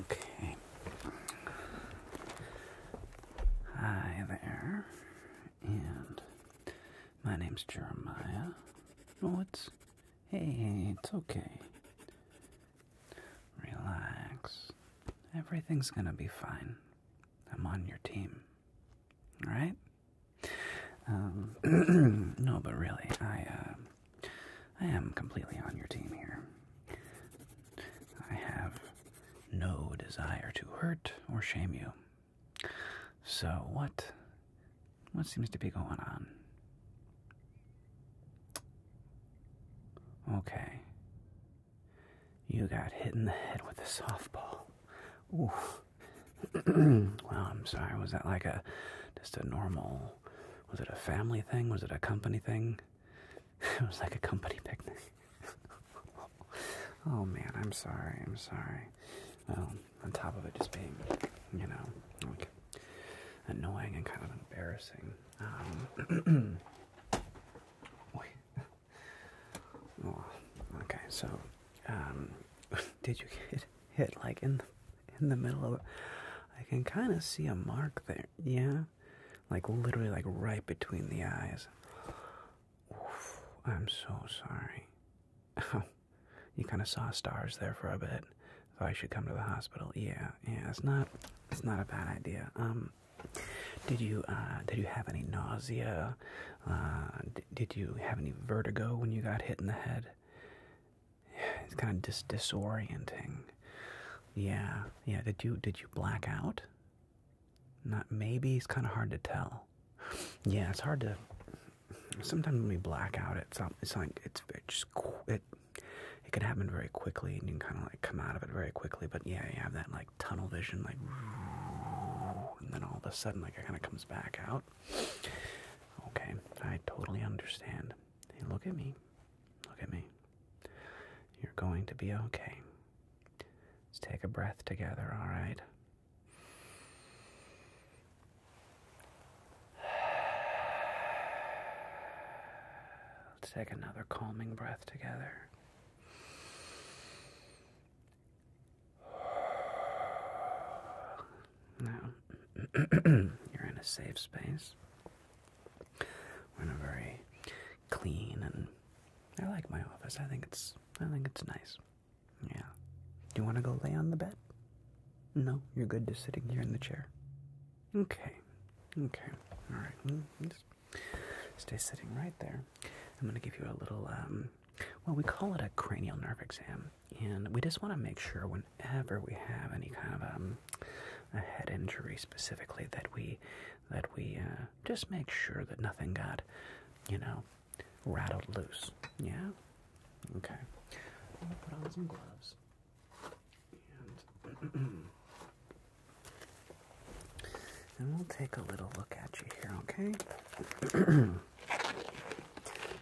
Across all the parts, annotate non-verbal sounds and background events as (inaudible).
Okay. Hi there. And my name's Jeremiah. Oh, Hey, it's okay. Relax. Everything's gonna be fine. I'm on your team. All right? Um, (clears throat) no, but really, I, uh, I am completely on your team here. I have no desire to hurt or shame you. So what, what seems to be going on? Okay. You got hit in the head with a softball. Oof. (clears throat) well, I'm sorry. Was that like a just a normal? Was it a family thing? Was it a company thing? (laughs) it was like a company picnic. (laughs) oh man, I'm sorry. I'm sorry. Well, on top of it just being, you know, annoying and kind of embarrassing. Um, (clears throat) wait. Oh, okay, so um, (laughs) did you get hit like in the, in the middle of it? I can kind of see a mark there. Yeah, like literally, like right between the eyes. I'm so sorry. (laughs) you kind of saw stars there for a bit. So I should come to the hospital. Yeah, yeah, it's not, it's not a bad idea. Um, did you uh, did you have any nausea? Uh, did you have any vertigo when you got hit in the head? (sighs) It's kind of dis disorienting. Yeah, yeah. Did you did you black out? Not maybe. It's kind of hard to tell. Yeah, it's hard to. Sometimes when we black out, it's it's like it's it just it it can happen very quickly, and you can kind of like come out of it very quickly. But yeah, you have that like tunnel vision, like, and then all of a sudden, like, it kind of comes back out. Okay, I totally understand. Hey, look at me. Look at me. You're going to be okay. Let's take a breath together, all right? Let's take another calming breath together. Now, (clears throat) you're in a safe space. We're in a very clean and I like my office. I think it's I think it's nice. Yeah. Do you want to go lay on the bed? No, you're good just sitting here in the chair. Okay. Okay. All right. Mm, Stay sitting right there. I'm going to give you a little, um, well, we call it a cranial nerve exam. And we just want to make sure whenever we have any kind of um, a head injury specifically that we, that we uh, just make sure that nothing got, you know, rattled loose. Yeah? Okay. I'm going to put on some gloves. (clears throat) And we'll take a little look at you here, okay?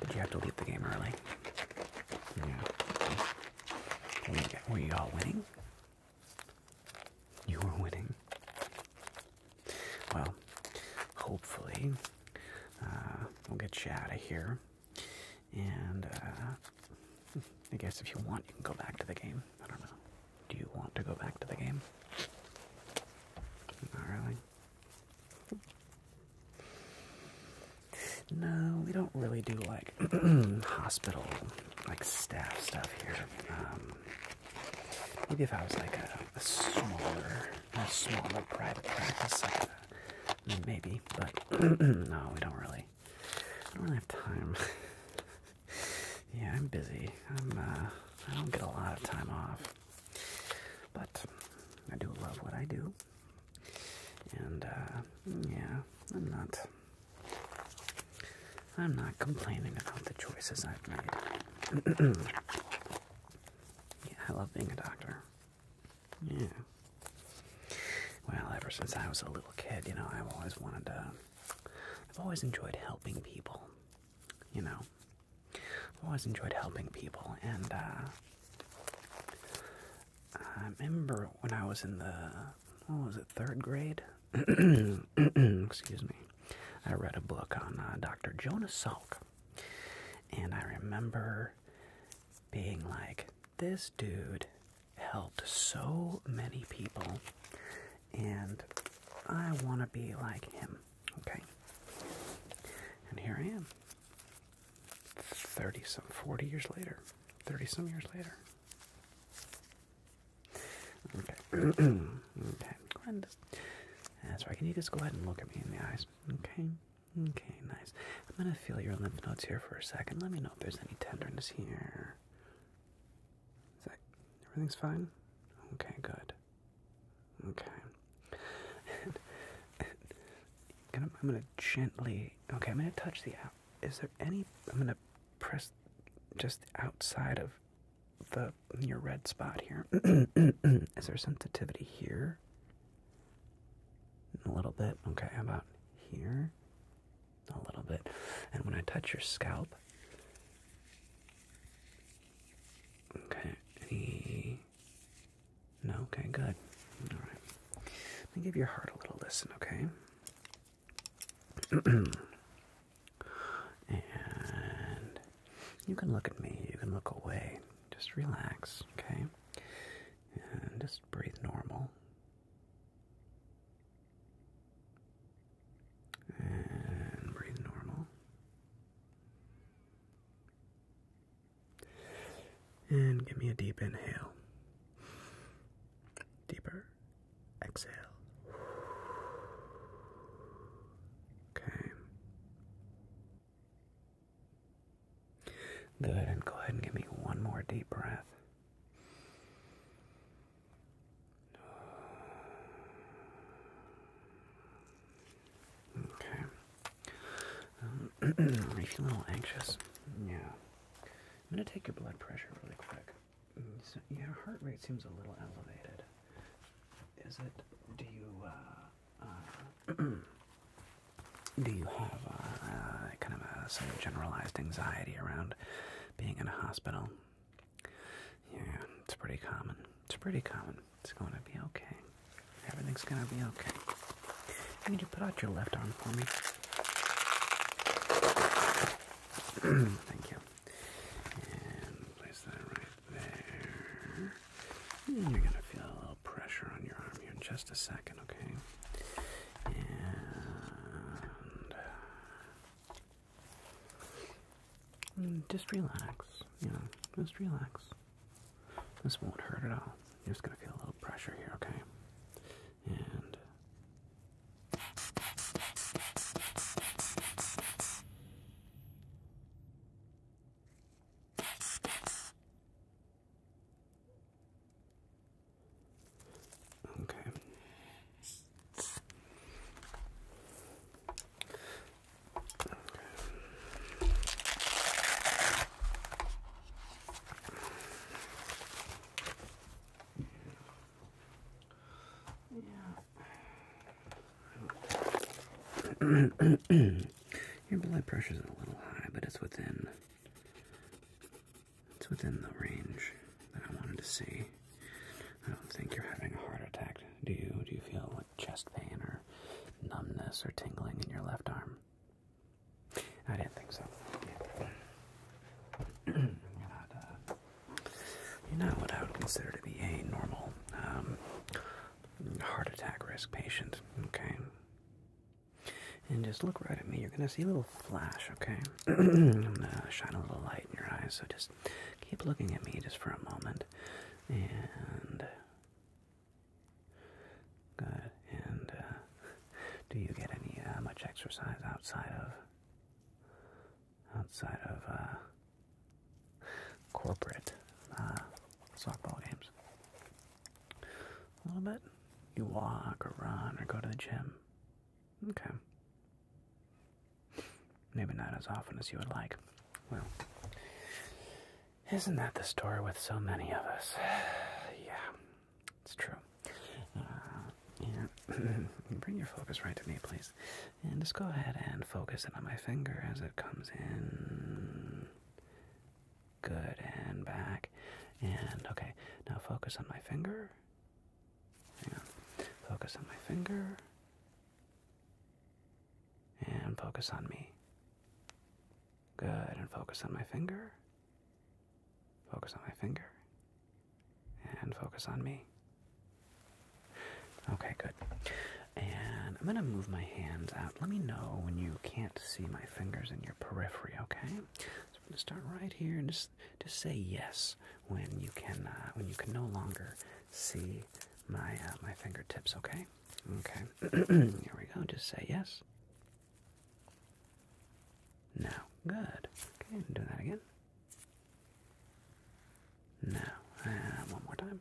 Did (clears throat) you have to leave the game early? Yeah. Were you all winning? You were winning. Well, hopefully, uh, we'll get you out of here. And uh, (laughs) I guess if you want, you can go back to the game. I don't know. Do you want to go back to the game? Not really. No, we don't really do like (clears throat) hospital, like staff stuff here. Um, maybe if I was like a, smaller, a smaller private practice, like maybe. But (clears throat) no, we don't really. I don't really have time. (laughs) yeah, I'm busy. Uh, i don't get a lot of time off. But I do love what I do. And, uh, yeah, I'm not. I'm not complaining about the choices I've made. (clears throat) yeah, I love being a doctor. Yeah. Well, ever since I was a little kid, you know, I've always wanted to. I've always enjoyed helping people you know, i always enjoyed helping people, and uh, I remember when I was in the what was it third grade? (clears throat) Excuse me. I read a book on uh, Dr. Jonas Salk, and I remember being like, this dude helped so many people and I want to be like him. Okay. And here I am. 30 some, 40 years later. 30 some years later. Okay. (clears throat) okay. Go That's right. Can you just go ahead and look at me in the eyes? Okay. Okay, nice. I'm going to feel your lymph nodes here for a second. Let me know if there's any tenderness here. Is that everything's fine? Okay, good. Okay. (laughs) I'm gonna gently. Okay, I'm gonna touch the out. Is there any? I'm gonna press just outside of the your red spot here. (clears throat) Is there sensitivity here? A little bit. Okay, about here? A little bit. And when I touch your scalp, Okay, No, okay, good. Alright. Let me give your heart a little listen, okay? (clears throat) and you can look at me, you can look away. Just relax, okay? And just breathe normal. And breathe normal. And give me a deep inhale. Deeper. Exhale. Okay. Good, and go ahead and give me one more deep breath. Okay. Um, (clears throat) are a little anxious? Yeah. I'm going to take your blood pressure really quick. your heart rate seems a little elevated. Is it? Do you uh, uh (clears throat) do you have uh, uh kind of a some generalized anxiety around being in a hospital? Yeah, it's pretty common. It's pretty common. It's going to be okay. Everything's going to be okay. I need you to put out your left arm for me. (clears throat) Thank you. And place that right there. Hmm, you're going to feel a little pressure on your arm here in just a second, okay? And Mm, just relax, you know, just relax. This won't hurt at all. You're just gonna feel a little pressure here, okay? And Okay. (clears throat) Your blood pressure's a little high, but it's within it's within the range that I wanted to see. I don't think you're having a heart attack. Do you? Do you feel like chest pain or numbness or tingling in your left arm? I didn't think so. (clears throat) Uh, you're not. what I would consider to be a normal um, heart attack risk patient. Okay. And just look right at me. You're gonna see a little flash, okay? (clears throat) I'm gonna shine a little light in your eyes, so just Keep looking at me just for a moment. And. Good. And uh, do you get any uh, much exercise outside of outside of uh, corporate uh, softball games? A little bit. You walk or run or go to the gym. Okay. Maybe not as often as you would like. Well, isn't that the story with so many of us? (sighs) yeah, it's true. Uh, yeah. (laughs) Bring your focus right to me, please. And just go ahead and focus it on my finger as it comes in. Good, and back. And okay, now focus on my finger. Hang Focus on my finger. And focus on me. Good. And focus on my finger. Focus on my finger. And focus on me. Okay, good. And I'm going to move my hands out. Let me know when you can't see my fingers in your periphery, okay? So I'm going to start right here and just just say yes when you can uh, when you can no longer see my uh, my fingertips, okay? Okay. (clears throat) Here we go. Just say yes. No. Good. Okay, and do that again. No. Uh, one more time.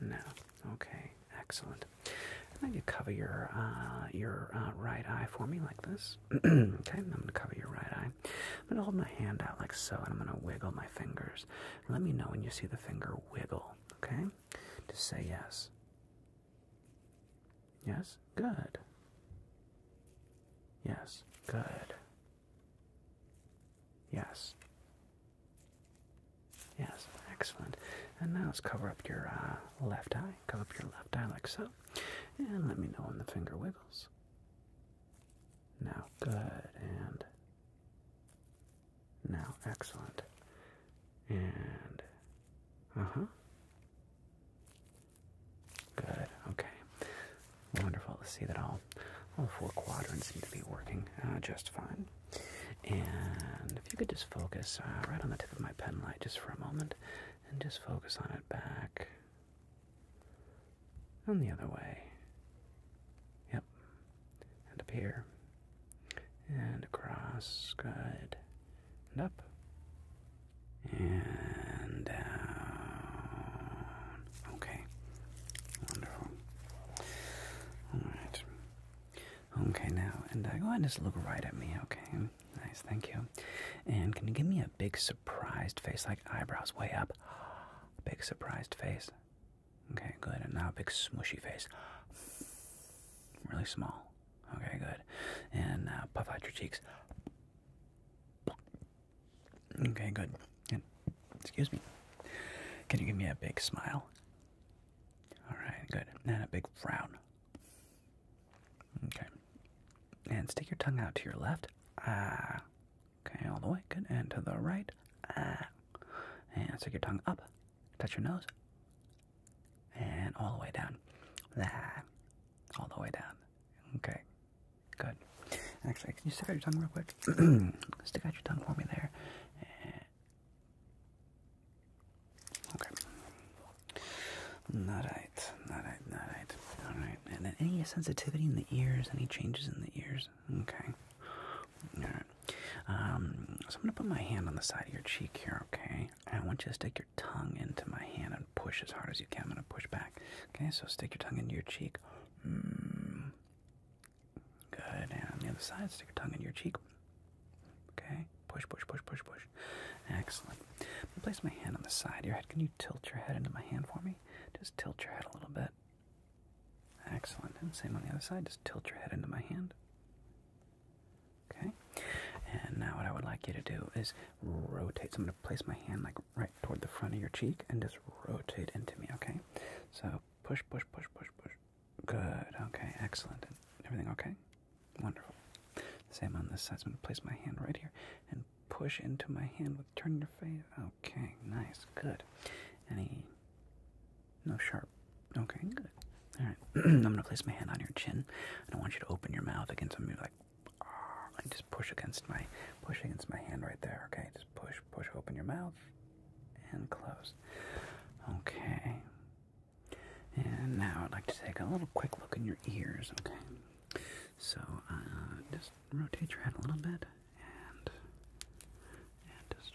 No. Okay. Excellent. And then you cover your uh, your right eye for me like this. (clears throat) okay, I'm going to cover your right eye. I'm gonna hold my hand out like so, and I'm gonna wiggle my fingers. Let me know when you see the finger wiggle, okay? To say yes. Yes, good. Yes, good. Yes. Yes, excellent. And now let's cover up your uh, left eye. Cover up your left eye like so. And let me know when the finger wiggles. Now good, and now excellent. And uh-huh. Good, okay. Wonderful to see that all all four quadrants seem to be working uh, just fine. And if you could just focus uh, right on the tip of my pen light just for a moment, and just focus on it back and the other way. Yep. And up here. And across. Good. And up. And down. Okay. Wonderful. Alright. Okay, now, and go oh, ahead and just look right at me, okay? Nice, thank you. And can you give me a big surprised face, like eyebrows way up. Big surprised face. Okay, good. And now big smushy face. Really small. Okay, good. And now uh, puff out your cheeks. Okay, good. And, excuse me. Can you give me a big smile? Alright, good. And a big frown. Okay. And stick your tongue out to your left. Ah. Okay, all the way. Good. And to the right. Ah. And stick your tongue up. Touch your nose. And all the way down. Ah. All the way down. Okay. Good. Actually, can you stick out your tongue real quick? (clears throat) stick out your tongue for me there. Eh. Not And Okay. Alright, alright, alright. Alright. Alright, and then any sensitivity in the ears, any changes in the ears? Okay. Alright. Um, so I'm going to put my hand on the side of your cheek here, okay? And I want you to stick your tongue into my hand and push as hard as you can. I'm going to push back. Okay, so stick your tongue into your cheek. Mm. Good. And on the other side, stick your tongue into your cheek. Okay, push, push, push, push, push. Excellent. I'm going to place my hand on the side of your head. Can you tilt your head into my hand for me? Just tilt your head a little bit. Excellent. And same on the other side. Just tilt your head into my hand. Okay. And now what I would like you to do is rotate. So I'm going to place my hand like right toward the front of your cheek and just rotate into me. Okay. So push, push, push, push, push. Good. Okay. Excellent. And everything okay? Wonderful. Same on this side. So I'm going to place my hand right here and push into my hand with turn your face. Okay, nice, good. Any no sharp. Okay, good. All right, (clears throat) I'm gonna place my hand on your chin. I don't want you to open your mouth against me. Like, just push against my push against my hand right there. Okay, just push, push, open your mouth and close. Okay. And now I'd like to take a little quick look in your ears. Okay. So uh, just rotate your head a little bit and and just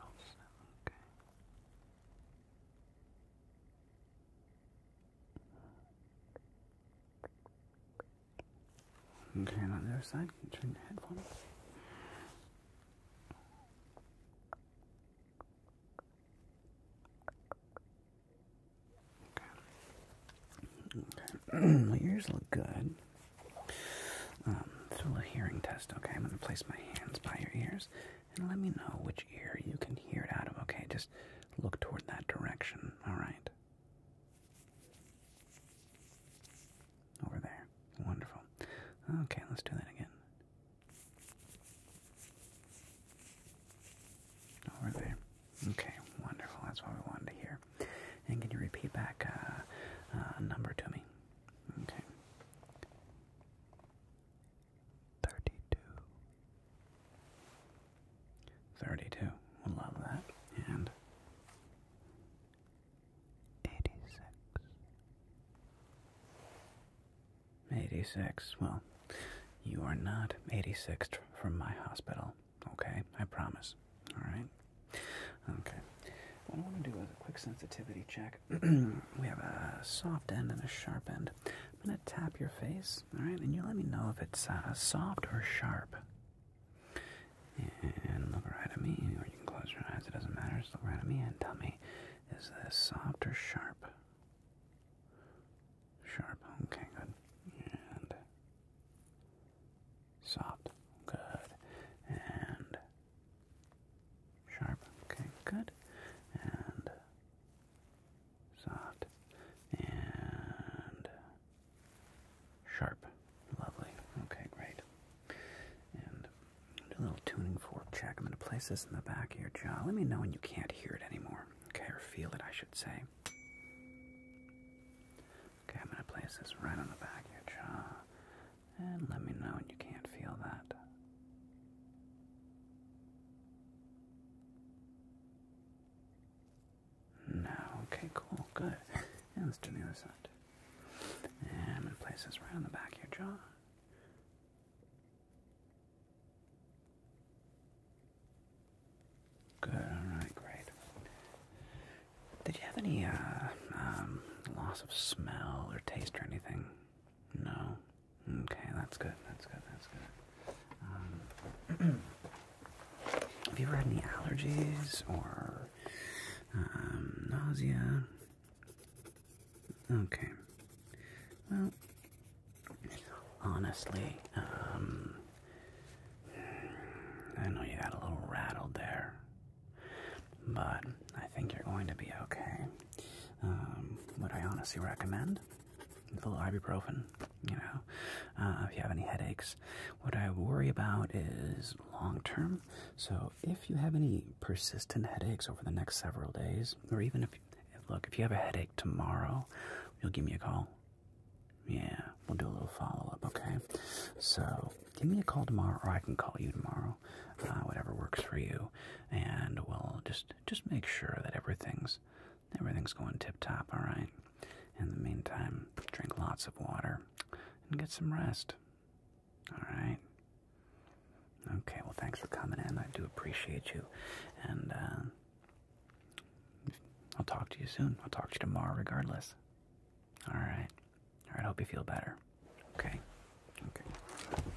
Okay. Okay, on the other side, turn your head for me? Okay. (clears throat) (clears throat) My ears look good. Um, so a hearing test, okay? I'm gonna place my hands by your ears and let me know which ear you can hear it out of, okay? Just look toward that direction, alright? Over there. Wonderful. Okay, let's do that again. Over there. Okay, wonderful. That's what we wanted to hear. And can you repeat back a uh, uh, number to me? Okay. 32. love that. And 86. 86. Well, you are not 86 from my hospital. Okay, I promise. All right. Okay. What I want to do is a quick sensitivity check. (clears throat) we have a soft end and a sharp end. I'm going to tap your face, all right, and you let me know if it's uh, soft or sharp. And look right at me, or you can close your eyes, it doesn't matter. Just look right at me and tell me is this soft or sharp? Sharp, okay, good. And Soft. Good. And sharp. Okay, good. And soft. And sharp. Lovely. Okay, great. And a little tuning fork check. I'm going to place this in the back of your jaw. Let me know when you can't hear it anymore. Okay, or feel it, I should say. Okay, I'm going to place this right on the back of your jaw. And let me know you can't feel that. No, okay, cool, good. And let's do the other side. And I'm going to place this right on the back of your jaw. Good. All right. Great. Did you have any uh, um, loss of smell or taste or anything? No. Okay. That's good. That's good. That's good. Um, (clears throat) have you ever had any allergies or um, nausea? Okay. Well, honestly, I know you got a little rattled there, but I think you're going to be okay. Um, what I honestly recommend a little ibuprofen? You know, uh, if you have any headaches, what I worry about is long term. So if you have any persistent headaches over the next several days, or even if look, if you have a headache tomorrow, you'll give me a call. Yeah, we'll do a little follow up, okay? So, give me a call tomorrow, or I can call you tomorrow, uh, whatever works for you, and we'll just just make sure that everything's everything's going tip top, all right? In the meantime, drink lots of water and get some rest, all right? Okay, well, thanks for coming in. I do appreciate you, and uh, I'll talk to you soon. I'll talk to you tomorrow, regardless. All right. All right. hope you feel better. Okay. Okay.